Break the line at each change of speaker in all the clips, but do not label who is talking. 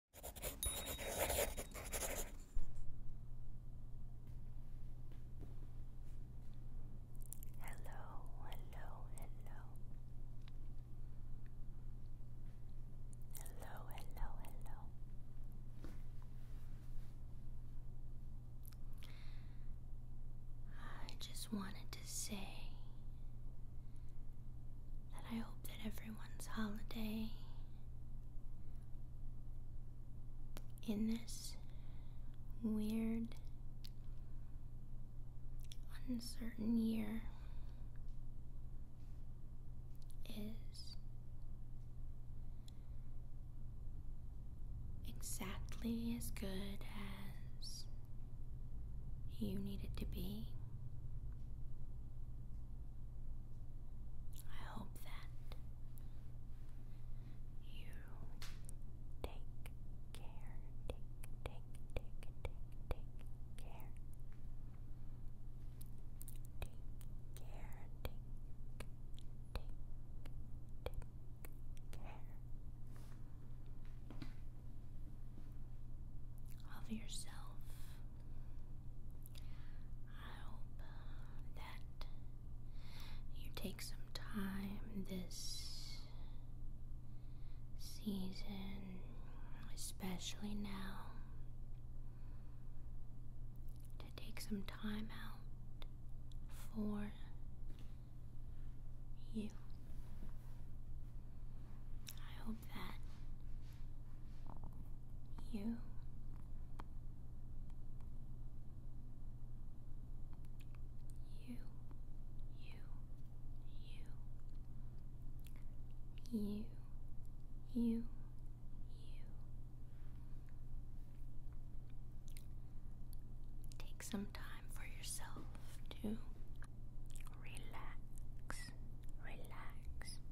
Hello, hello, hello. Hello, hello, hello. I just wanted to say that I hope that everyone's holiday in this weird, uncertain year is exactly as good as you need it to be. I hope that you take care, take, take, take, take, take care. Take care, take, take, take care of yourself. I hope uh, that you take some time this season, especially now, to take some time out for you. I hope that you you you you you you take some time for yourself to relax, relax,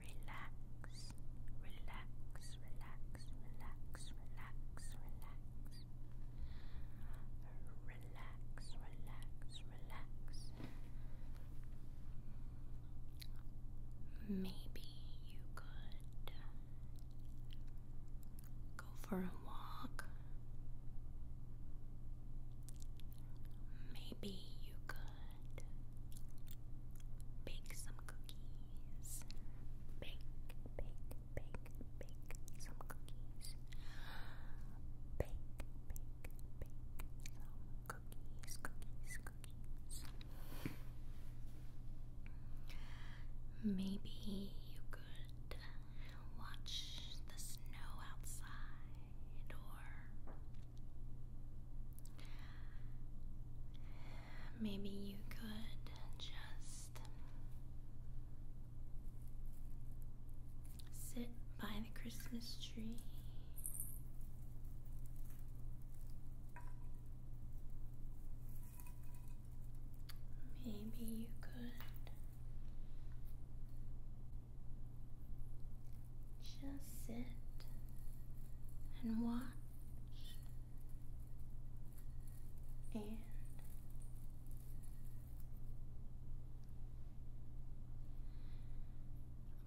relax, relax, relax, relax, relax, relax. Relax, relax, relax. Maybe you could Go for a walk. Maybe you could bake some cookies. Bake, bake, bake, bake some cookies. Bake, bake, bake some cookies, cookies, cookies. Maybe you could watch the snow outside, or maybe you could just sit by the Christmas tree. Maybe you could just sit and watch and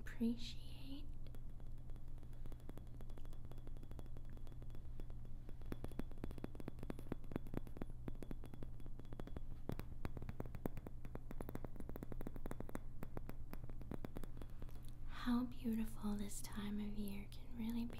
appreciate how beautiful this time of year can really be.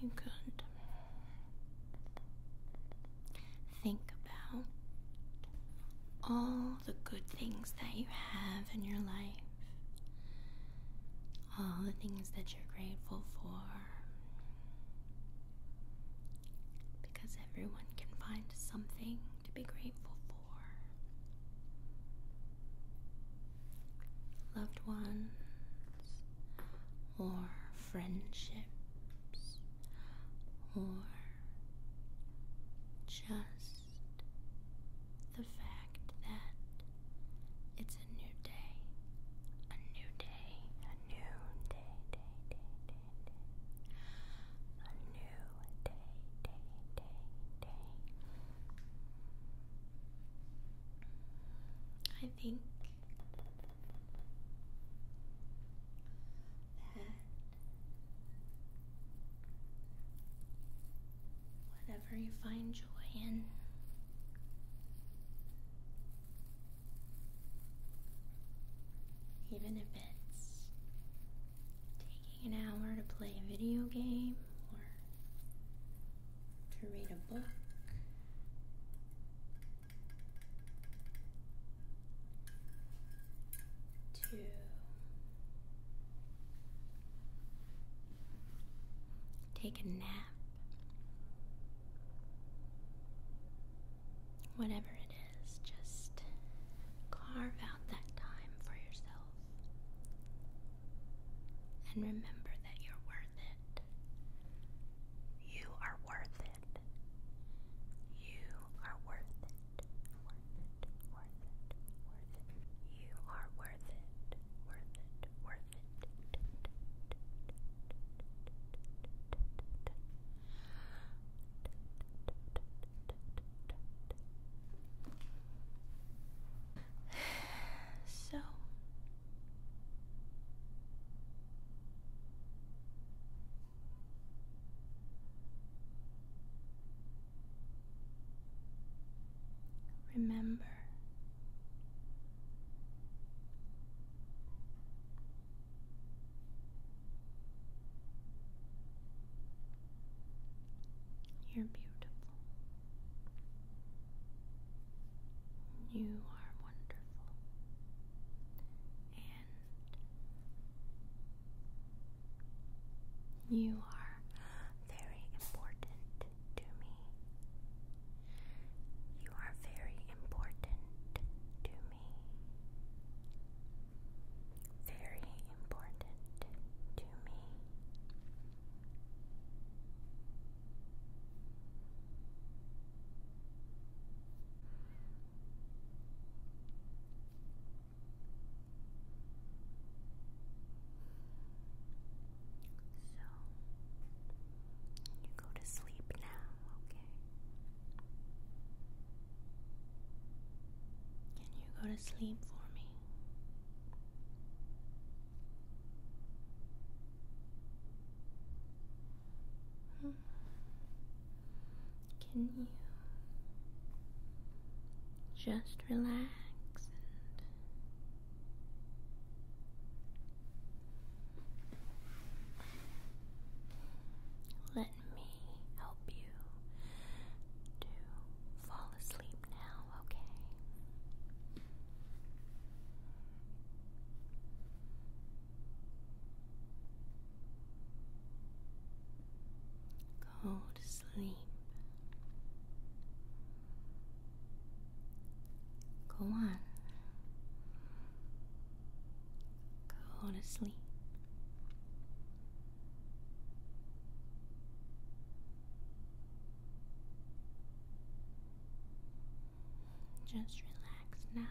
You could think about all the good things that you have in your life, all the things that you're grateful for. Because everyone can find something to be grateful for. Loved ones, or friendships, or just the fact that it's a new day, a new day, a new day, day, day, day. A new day, day, day, day. I think that whatever you find joy in even if it's taking an hour to play a video game or to read a book, to take a nap whatever it is, just carve out that time for yourself. And remember that you're worth it. You are worth it. You are worth it. Worth it. Worth it. Worth it. You are worth it. Worth it. Worth so remember you're beautiful. You are wonderful. And you are very important to me. You are very important to me. Very important to me. So, you go to sleep now, okay? Can you go to sleep for me? Hmm. Can you just relax and let me help you to fall asleep now, okay? Go sleep. Go on. Go to sleep. Just relax now.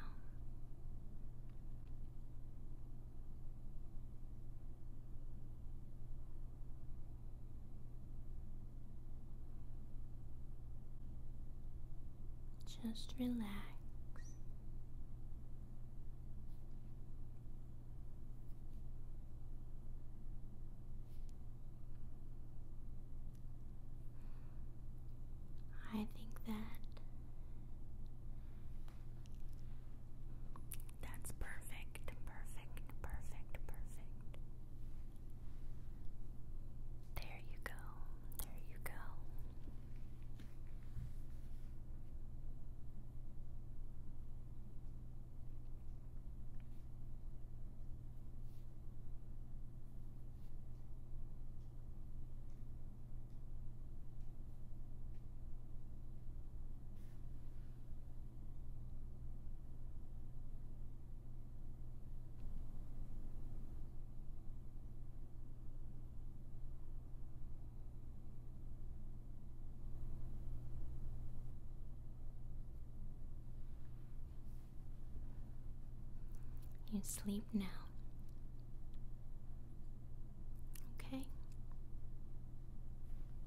Just relax. I think that that's perfect, perfect, perfect, perfect. There you go, there you go. You sleep now. Okay.